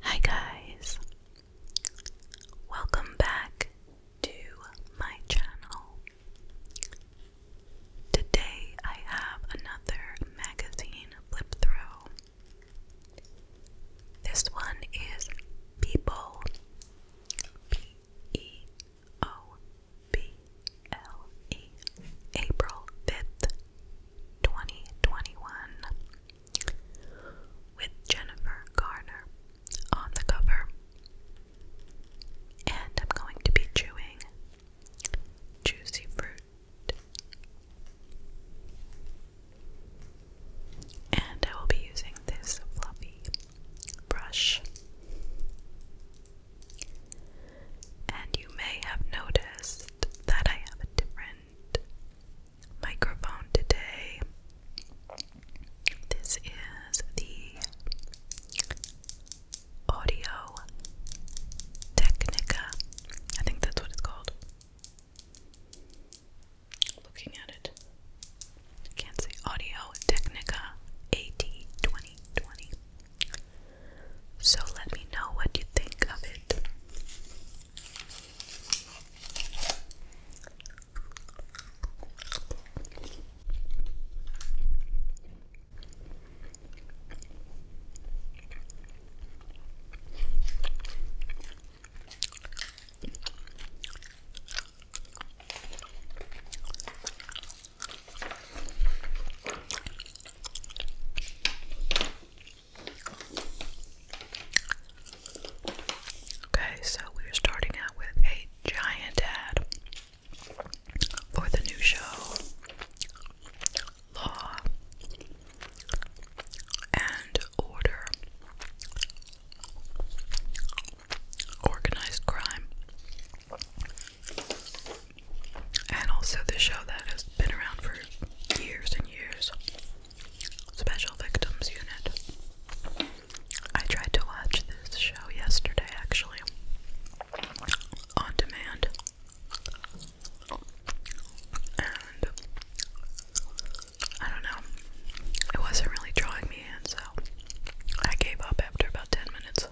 Hi, guys, welcome back to my channel. Today, I have another magazine flip through. This one is People P E O B L E April 5th, 2021 with Jennifer Garner on the cover. And I'm going to be chewing juicy fruit. And I will be using this fluffy brush. And you may have noticed that I have a different microphone today. This is the Audio Technica. I think that's what it's called. Looking at it, can't see Audio Technica AT 2020. So let me know what you think of it. Okay, so we're starting out with a giant ad for the new show, Law and Order Organized Crime, and also the show that is been around for years and years. Special Victims Unit. I tried to watch this show yesterday, actually, on demand. And I don't know, it wasn't really drawing me in, so I gave up after about 10 minutes.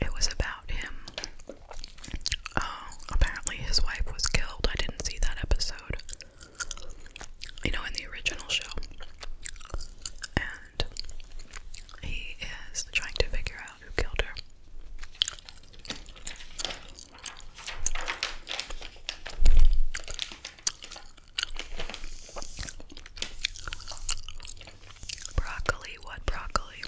It was about him Oh, apparently, his wife was killed. I didn't see that episode. You know, in the original show. And he is trying to figure out who killed her. Broccoli, what broccoli?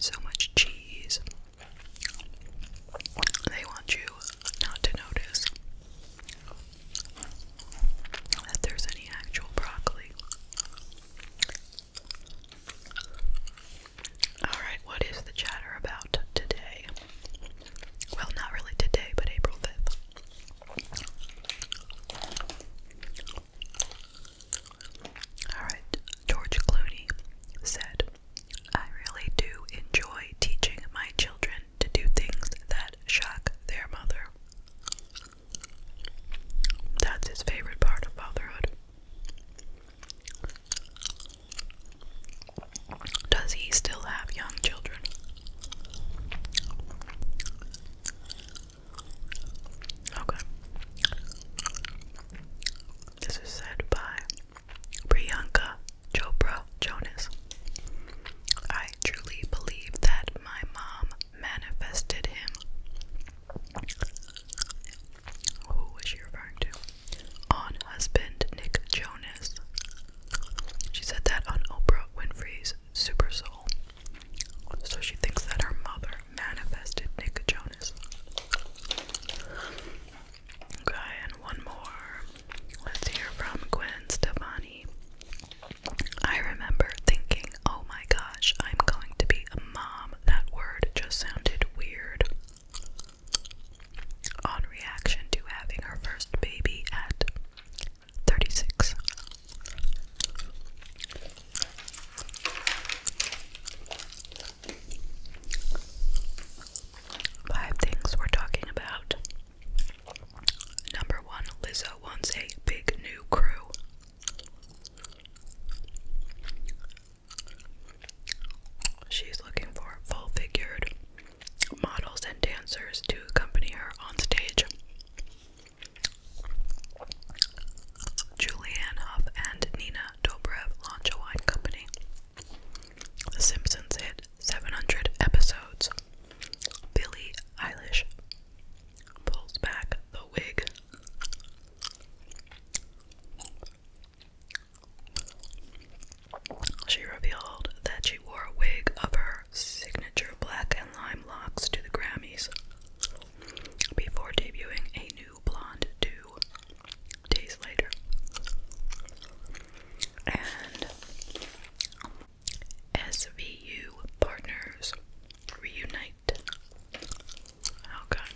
so much cheese. They want you not to notice that there's any actual broccoli. Alright, what is the chatter about today? Well, not really today, but April 5th. Alright, George Clooney said, I really do enjoy teaching my children to do things that shock their mother. That's his favorite part of fatherhood. Does he still have young children? Okay. This is said by Priyanka Chopra Jonas. I truly believe that my mom manifested him. Who was she referring to? On husband Nick Jonas. She said that on Oprah Winfrey's Super Soul. So she thinks that her mother manifested Nick Jonas. Okay, and one more. Let's hear from Gwen Stefani. I remember thinking, oh my gosh, I'm going to be a mom. That word just sounded weird. On reaction to having her first baby at 36, Five things we're talking about. Number one, Lizzo wants a big new crew. She's looking for full figured models and dancers to accompany her on stage. Julianne and Nina Dobrev launch a wine company. The Simpsons hit 700 episodes. Billie Eilish pulls back the wig. She revealed that she wore a wig of her signature black and lime locks to the Grammys before debuting a new blonde two days later. And SVU Partners Reunite. Okay.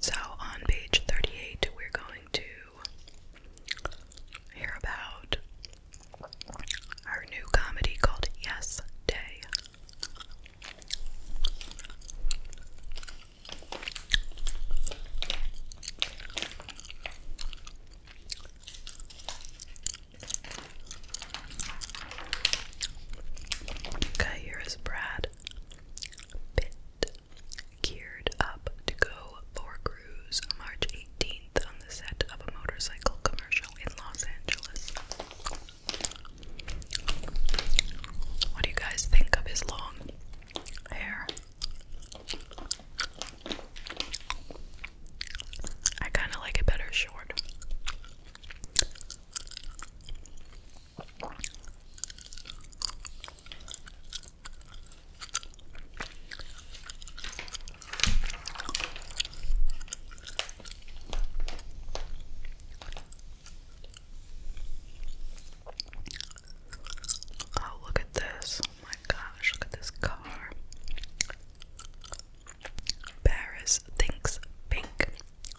So on page 38, we're going to hear about our new comedy called Yes Day. Okay, here is Brad Pitt, geared up to go for a cruise March 18th on the set of a motorcycle commercial in Los Angeles. What do you guys think of his long hair? I kind of like it better short. Oh, look at this. Oh my gosh, look at this car. Paris thinks pink.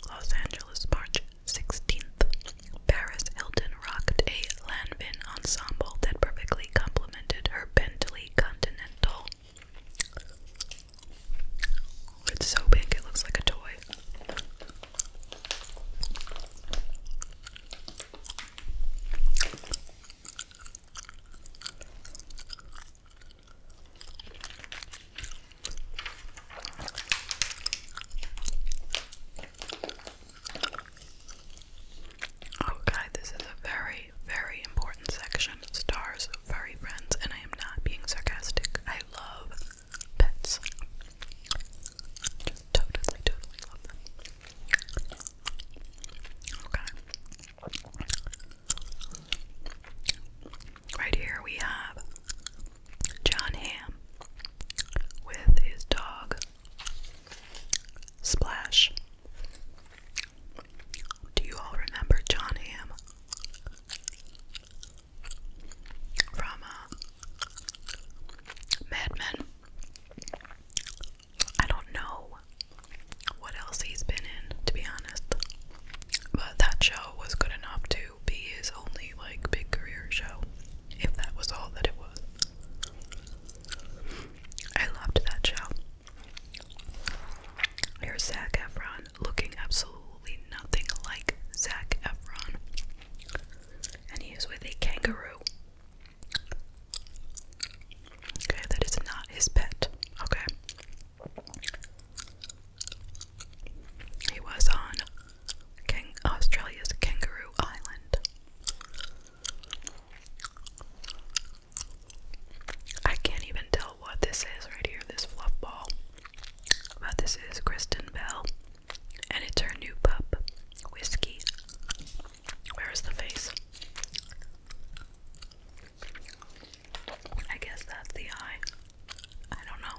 Los Angeles march 16th, Paris Hilton rocked a Lanvin ensemble that perfectly complemented her Bentley Continental. It's so big, it looks like a toy. Okay, oh, this is a very, very important section. Stars, furry friends, and I am not being sarcastic. I love pets. totally, totally love them. Okay. Right here we have John Ham with his dog Splash. Do you all remember John Ham? From uh, Mad Men. I don't know what else he's been in, to be honest, but that show was good enough to be his only like big career show, if that was all that it was. I loved that show. Here's Zach Efron looking absolutely nothing like Zach Efron, and he is with a kangaroo. Okay, that is not his pet. Okay, he was on Australia's Kangaroo Island. I can't even tell what this is right here, this fluff ball. But this is Kristen Bell, and it's her new pup, Whiskey. Where's the face? I guess that's the eye. I don't know.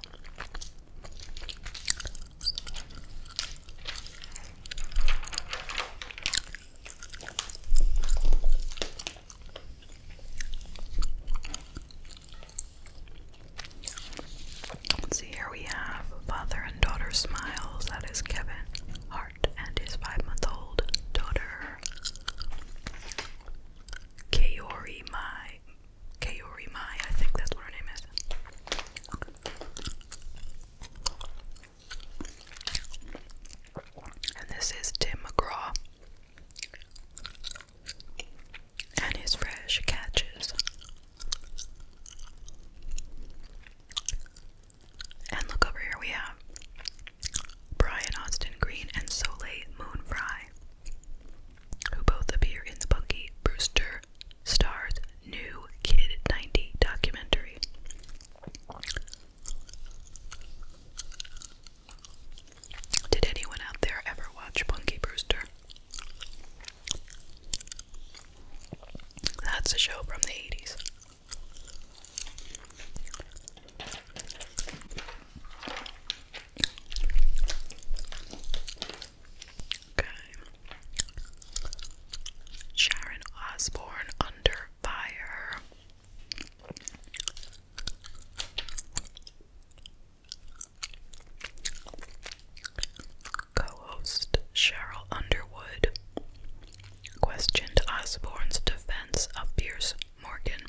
see, here we have father and daughter smiles. That is Kevin Hart and his five month old daughter Kaori Mai Kaori Mai, I think that's what her name is. And this is Tim McGraw and his fresh catches. And look over here we have Brian Austin Green and Soleil Moon Fry who both appear in the Punky Brewster Star's new Kid 90 documentary. Did anyone out there ever watch Punky Brewster? That's a show from the 80s. Sharon Osbourne under fire. Co-host Cheryl Underwood questioned Osborne's defense of Pierce Morgan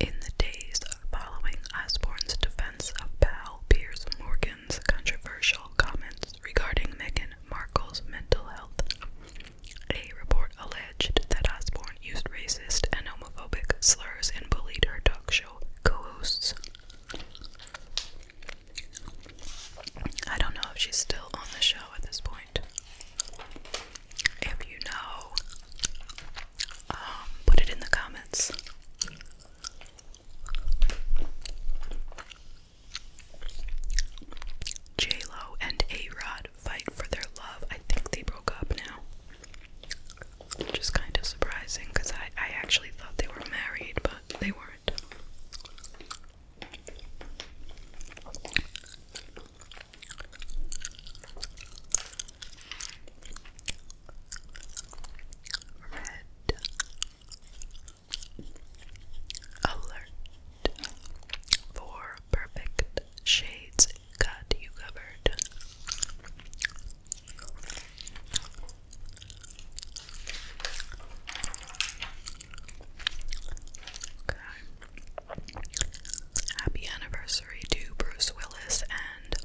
in the days following Osborne's defense of pal Piers Morgan's controversial comments regarding Meghan Markle's mental health, a report alleged that Osborne used racist and homophobic slurs and bullied her talk show co hosts. I don't know if she's still on the show at this point. If you know, um, put it in the comments. J Lo and A Rod fight for their love. I think they broke up now. Which is kind of surprising because I actually thought they were married, but they weren't. Red alert for perfect shades got you covered. Happy anniversary to Bruce Willis and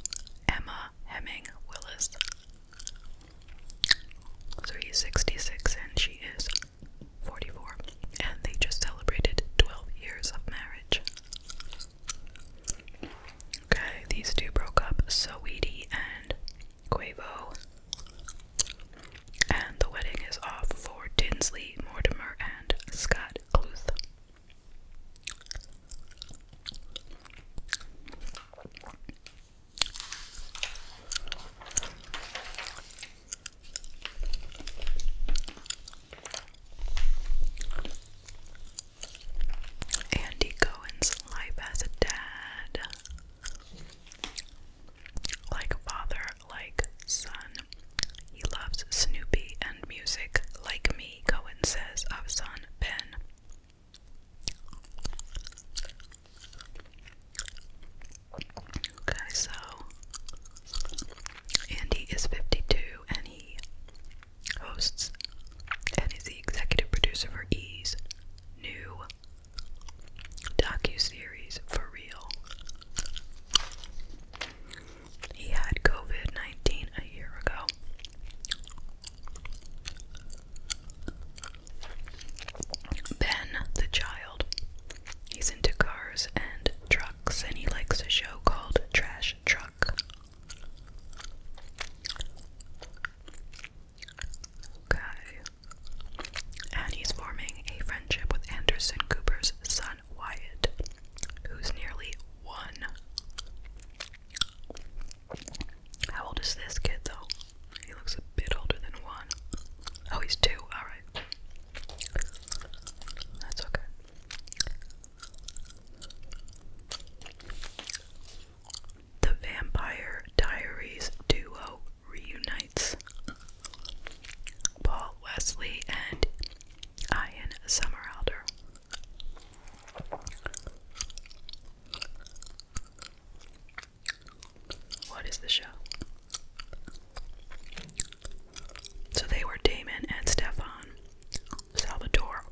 Emma Hemming Willis. So he's 66 and she is 44. And they just celebrated 12 years of marriage. Okay, these two broke up, so weedy and Quavo. And the wedding is off for Tinsley, Mortimer, and Scott Cluth. Andy Cohen's life as a dad. Like father, like son. He loves Snoopy and music like me, Cohen says of son Ben. Okay, so Andy is 52 and he hosts and is the executive producer for E's new docu-series for real. He had COVID-19 a year ago. Ben, the child, he's into cars and trucks and he likes a show called Trash Truck. Okay. And he's forming a friendship with Anderson Cooper's son Wyatt, who's nearly one. How old is this kid though? He looks a bit older than one. Oh, he's two. Alright. That's okay. The Vampire Diaries duo reunites. Paul Wesley and Ian Somerhalder. What is the show? So they were Damon and Stefan Salvatore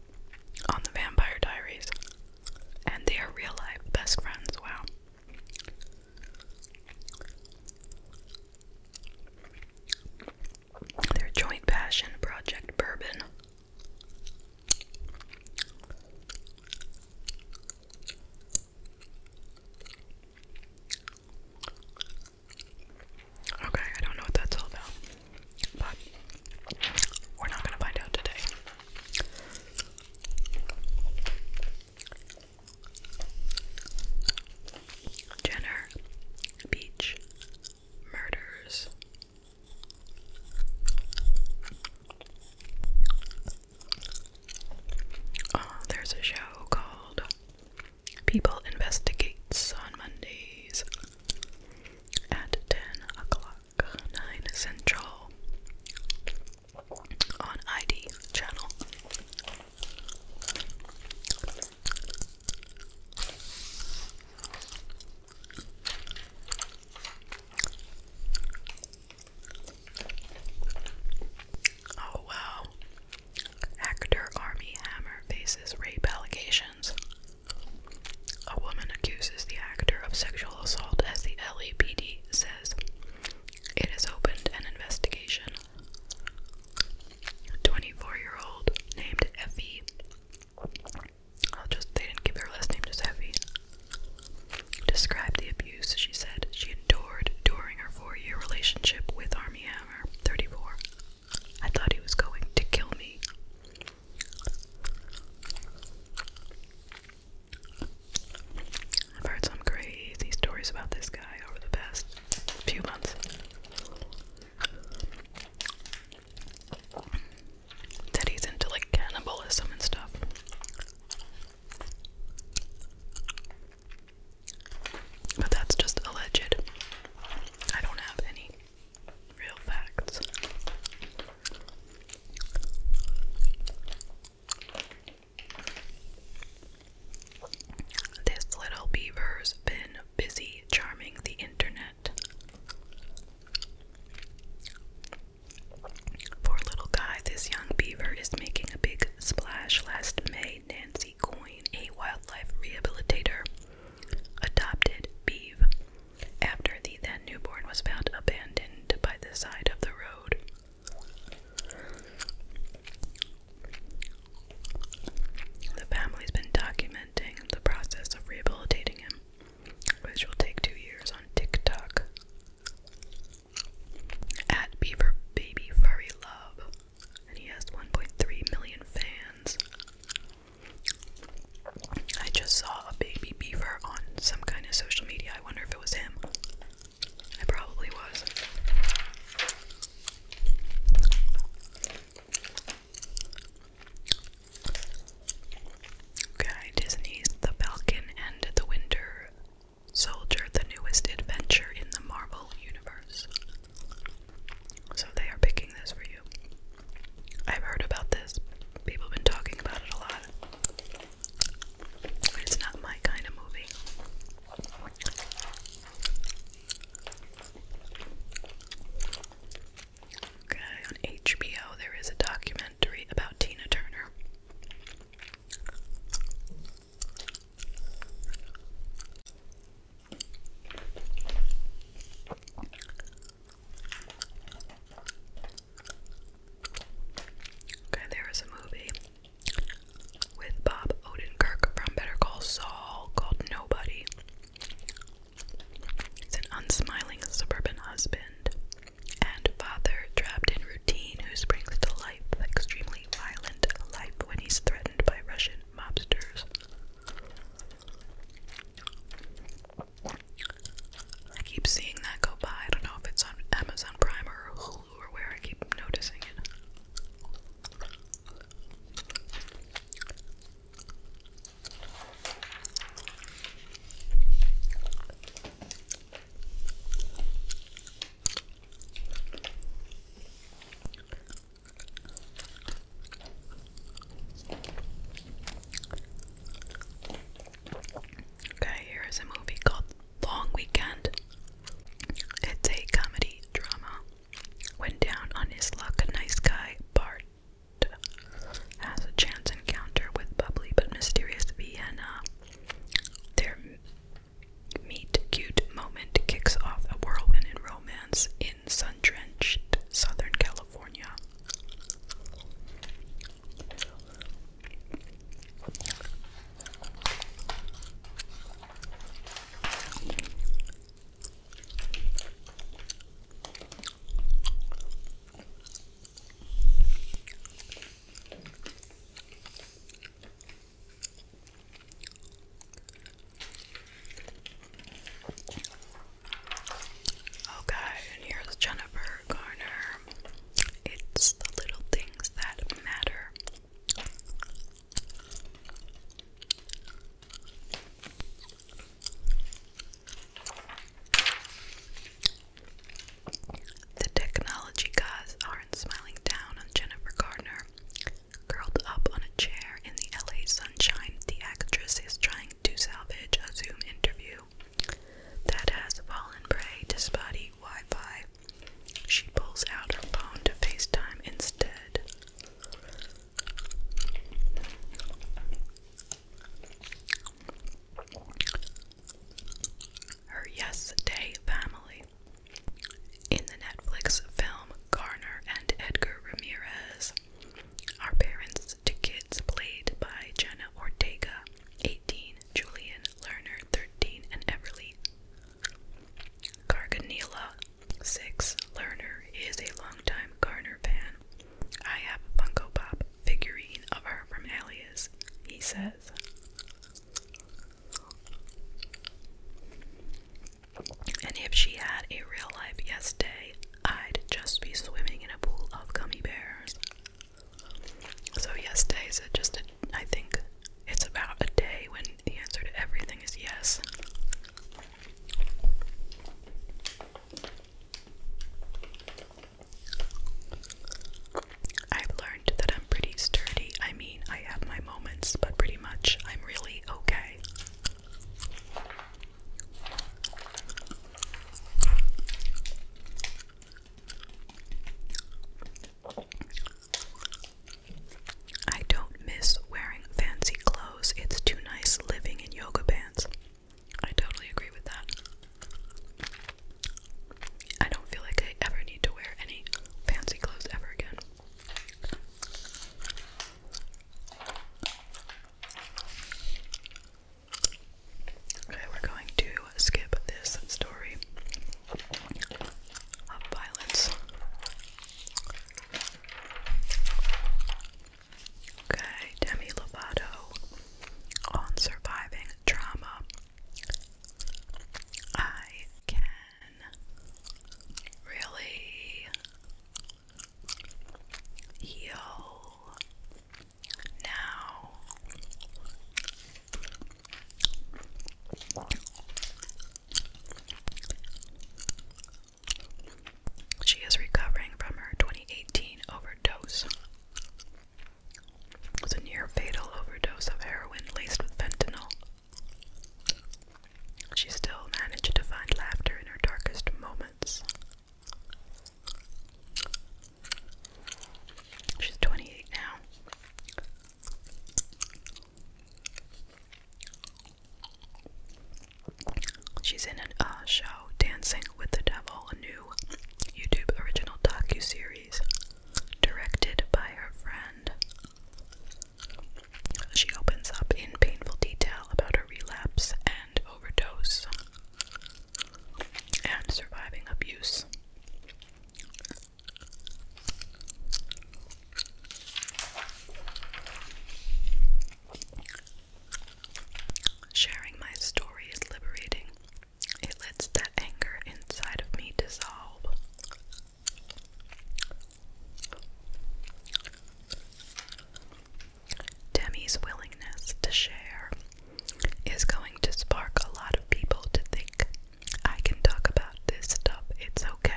on the Vampire Diaries, and they are real life best friends. Wow. Their joint passion project bourbon. Okay, I don't know what that's all about, but we're not gonna find out today. Jenner Beach Murders. Uh, there's a show called People Investigates on Mondays at 10 o'clock, 9 Central on ID channel. Oh wow. Actor Army Hammer faces rape allegations. A woman accuses the actor of sexual assault as the LAPD says it has opened an investigation. A 24 year old named Effie. they didn't give her last name, just Effie. Described the abuse she said she endured during her four year relationship with Army Hammer, 34. I thought he was going to kill me. I've heard some crazy stories about this guy over the past few months. That he's into like cannibalism and stuff. But that's just alleged. I don't have any real facts. This little beaver's been busy charming the internet. Poor little guy, this young beaver is making a big splash. Last May, Nancy Coyne, a wildlife rehabilitator, adopted Beeve after the then newborn was found abandoned by the side of the road. The family's been documenting the process of rehabilitating him, which will take two years on TikTok. At Beaver Baby Furry Love, and he has 1.3 million fans. I just saw a baby beaver on some kind of social media. I wonder if it was him. I probably was. Okay, Disney's The Falcon and the Winter Soldier, the newest adventure in the Marvel Universe. So they are picking this for you. I've heard about this. People have been talking about it a lot. It's not my kind of movie. Okay, on HBO there is a documentary about Tina Turner. Okay, there a movie with Bob Odenkirk from Better Call Saul called Nobody. It's an unsmiling suburban husband and father trapped in routine who springs to life, extremely violent life, when he's threatened by Russian mobsters. I keep seeing that go by. I don't know if it's on Amazon Prime or Hulu or where I keep noticing it. Okay, here is a movie called Long Weekend. It's a comedy drama. Went down on his luck, a nice guy, Bart, has a chance encounter with bubbly but mysterious Vienna. Their meet cute moment kicks off a whirlwind romance in sun drenched Southern California. Okay, oh, and here's Jennifer corner. It's the little things that matter. The technology guys aren't smiling down on Jennifer Gardner. Curled up on a chair in the LA sunshine, the actress is trying to salvage a Zoom interview that has fallen prey to spotty Wi Fi. She pulls out her phone to FaceTime instead. Her Yesterday Family. In the Netflix film Garner and Edgar Ramirez, are parents to kids, played by Jenna Ortega, 18, Julian, Lerner, 13, and Everly. Carganilla, 6, Lerner is a longtime Garner fan. I have a Funko Pop figurine of her from Alias, he says. And if she had a real life yesterday, I'd just be swimming in a pool of gummy bears. So yes day is just a, I think it's about a day when the answer to everything is yes. I've learned that I'm pretty sturdy. I mean, I have my moments, but pretty much I'm really okay. I don't miss wearing fancy clothes. It's too nice living in yoga pants. I totally agree with that. I don't feel like I ever need to wear any fancy clothes ever again. Okay, we're going to skip this story of violence. Okay, Demi Lovato on surviving trauma. I can really heal now. She is recovering from her 2018 overdose. It near fatal overdose of heroin laced with fentanyl. She still managed to find laughter in her darkest moments. She's 28 now. She's in a uh, show, Dancing with the Devil, a new YouTube original docu-series directed by her friend. She opens up in painful detail about her relapse and overdose and surviving abuse. Sharing my story is liberating. It lets that anger inside of me dissolve. Demi's willingness to share is going to spark a lot of people to think I can talk about this stuff. It's okay.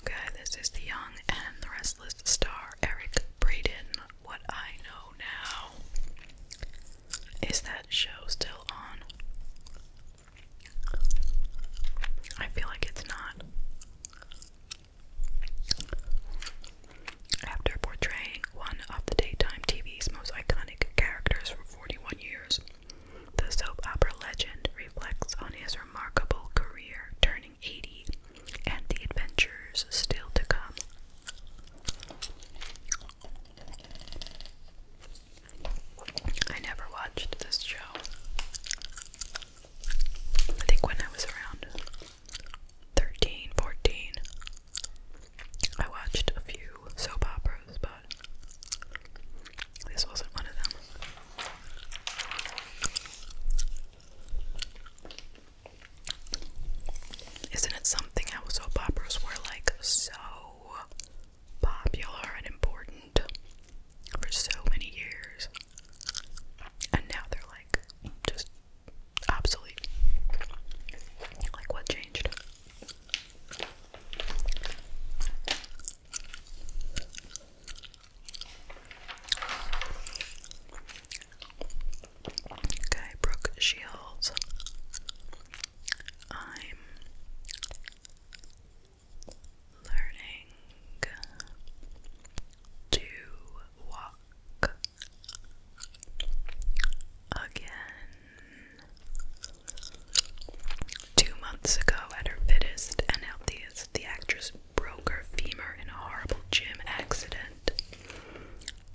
Okay, this is the young and the restless star Eric Braden. What I know now is that show still on? I feel like it's not. After portraying one of the daytime TV's most iconic characters for 41 years, the soap opera legend reflects on his remarkable career turning 80 and the adventures still to come. I never watched this show. I think when I was around 13, 14, I watched a few soap operas, but this wasn't one of them. Isn't it something how soap operas were like so popular and important for so many years, and now they're like just obsolete. Like, what changed? Okay, Brooke Shields. I'm learning to walk again. Two months ago, at her fittest and healthiest, the actress broke her femur in a horrible gym accident.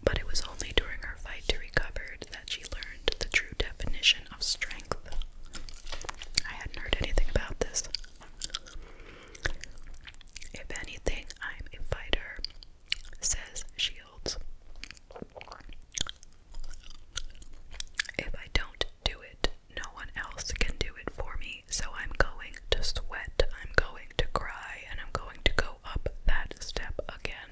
But it was only during her fight to recover that she learned the true definition of strength I hadn't heard anything about this. If anything, I'm a fighter, says Shields. If I don't do it, no one else can do it for me, so I'm going to sweat, I'm going to cry, and I'm going to go up that step again.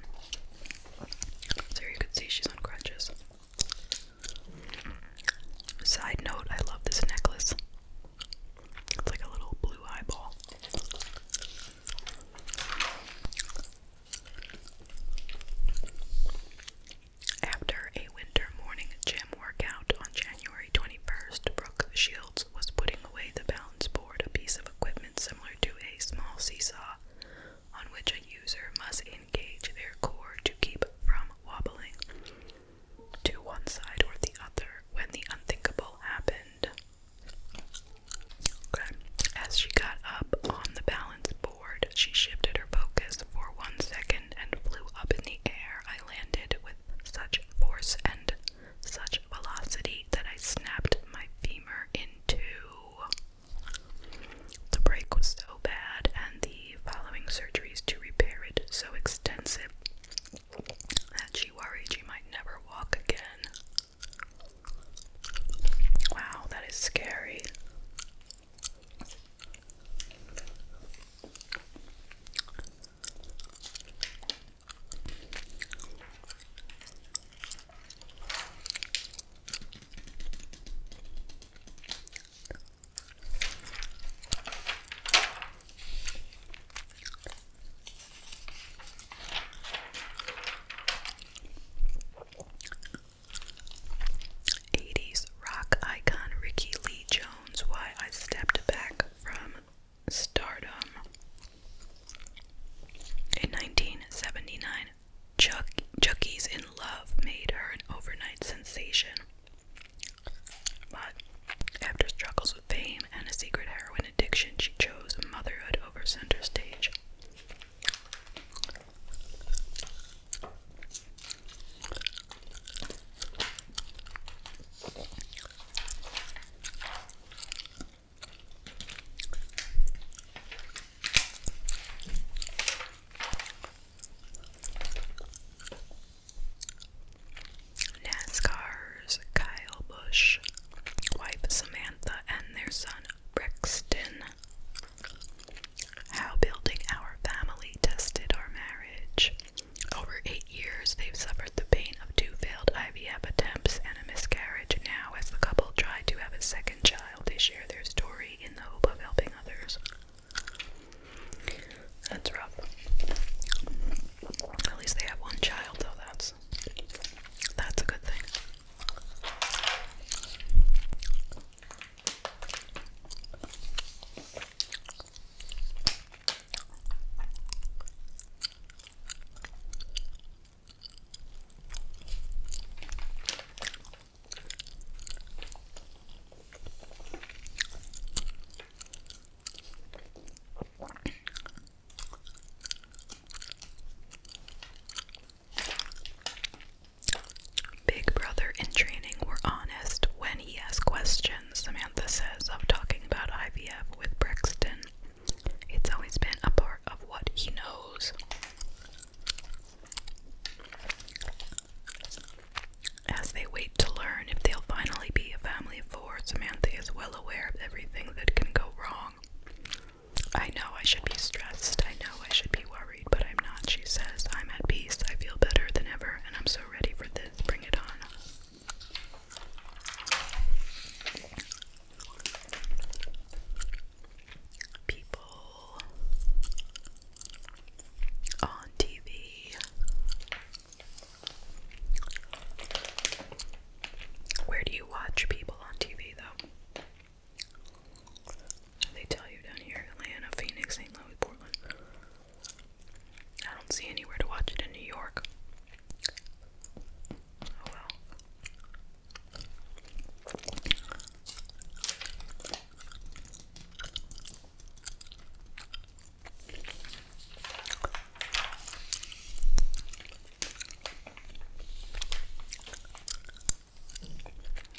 So you can see she's on crutches. Side note, I love this necklace. It's like a little blue eyeball. After a winter morning gym workout on January 21st, Brooke Shields was putting away the balance board, a piece of equipment similar to a small seesaw on which a user must engage their core to keep from wobbling to one side or the other when the unthinkable happened. As she got up on the balance board, she shifted her focus for one second and flew up in the air. I landed with such force and such velocity that I snapped my femur in two. The break was so bad, and the following surgeries to repair it so extensive that she worried she might never walk again. Wow, that is scary. 80s rock icon Ricky Lee Jones, why I stepped back from stardom. In 1979, Chuck Chucky's in Love made her an overnight sensation. But after struggles with fame and a secret heroin addiction, she chose motherhood over center stage. NASCAR's Kyle Busch, wife Samantha, and their son Brixton. How building our family tested our marriage. Over eight years, they've suffered the pain of two failed IVF attempts and a miscarriage. Now, as the couple try to have a second child, they share their story in the hope of helping others. That's rough. At least they have one child, though. That's that's a good thing. Big brother in training were honest when he asked questions, Samantha says, of talking about IVF with Brexton. It's always been a part of what he knows. As they wait to learn if they'll finally be a family of four, Samantha is well aware of everything that can go wrong. I know I should be stressed, I know I should be worried, but I'm not, she says. I'm at peace, I feel better than ever, and I'm so ready for this. Bring it on people on TV where do you watch people on TV though? They tell you down here, Atlanta, Phoenix, St. Louis, Portland. I don't see anywhere to watch it in New York. Oh well.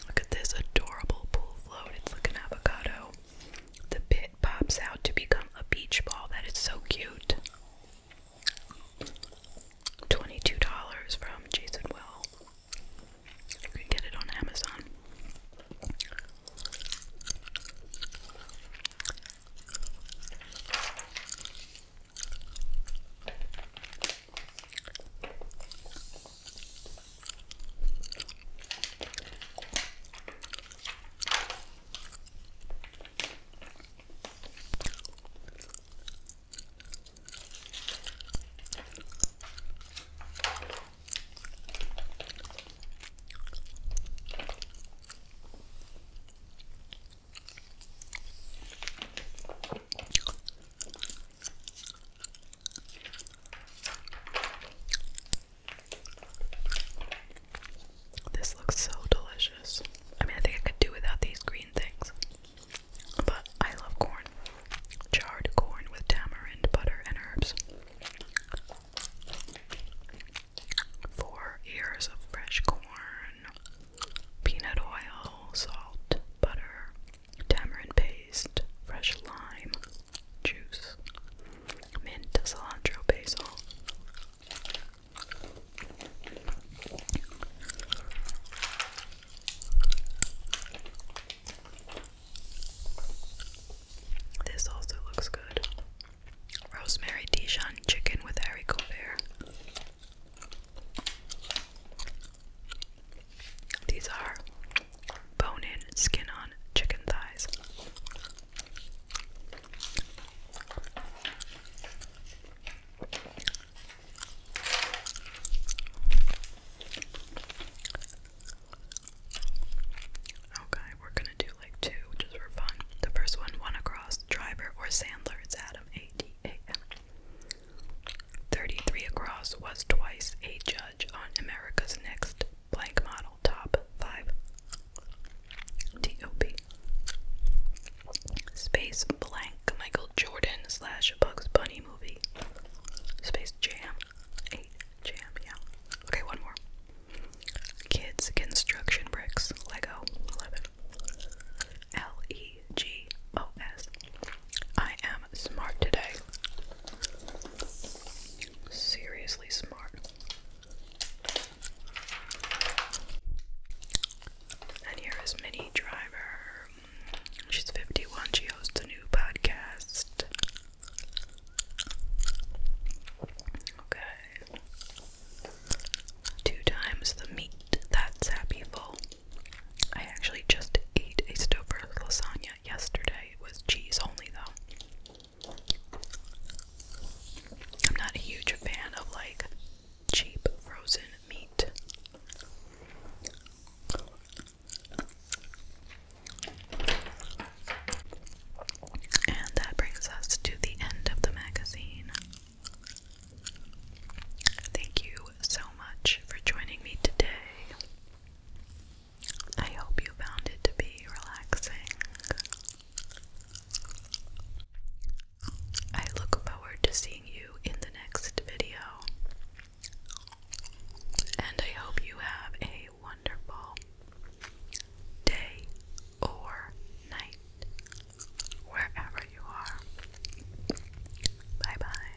Look at this adorable pool float. It's like an avocado. The pit pops out to become a beach ball. That is so cute. $22 from Jason Will. You can get it on Amazon. This looks so delicious. I mean, I think I could do without these green things. But I love corn. Charred corn with tamarind, butter, and herbs. Four ears of fresh corn, peanut oil, salt, butter, tamarind paste, fresh lime, juice, mint, cilantro, basil. This also looks good. Rosemary Dijon chicken with haricot bear. These are bone in, skin on chicken thighs. Okay, we're gonna do like two just for fun. The first one, one across, driver or Sandler. It's Adam A D A M. Thirty-three across was twice a judge on America's Next Blank Model Top Five. T O P. Space blank. Michael Jordan slash Bugs Bunny movie. Space Jam. Jam, yeah. Okay, one more. Kids Construction Bricks. Lego. 11. L E G O S. I am smart today. Seriously smart. And here is Mini Driver. She's 51. She hosts a new podcast. Okay. Two times the meat. That's happy full. I actually just ate a Stouffer's lasagna yesterday. It was cheese only, though. I'm not a huge fan of like cheap frozen meat. And that brings us to the end of the magazine. Thank you so much for joining me today. I hope you found it to be relaxing. I look forward to seeing you in the next video. And I hope you have a wonderful day or night wherever you are. Bye bye.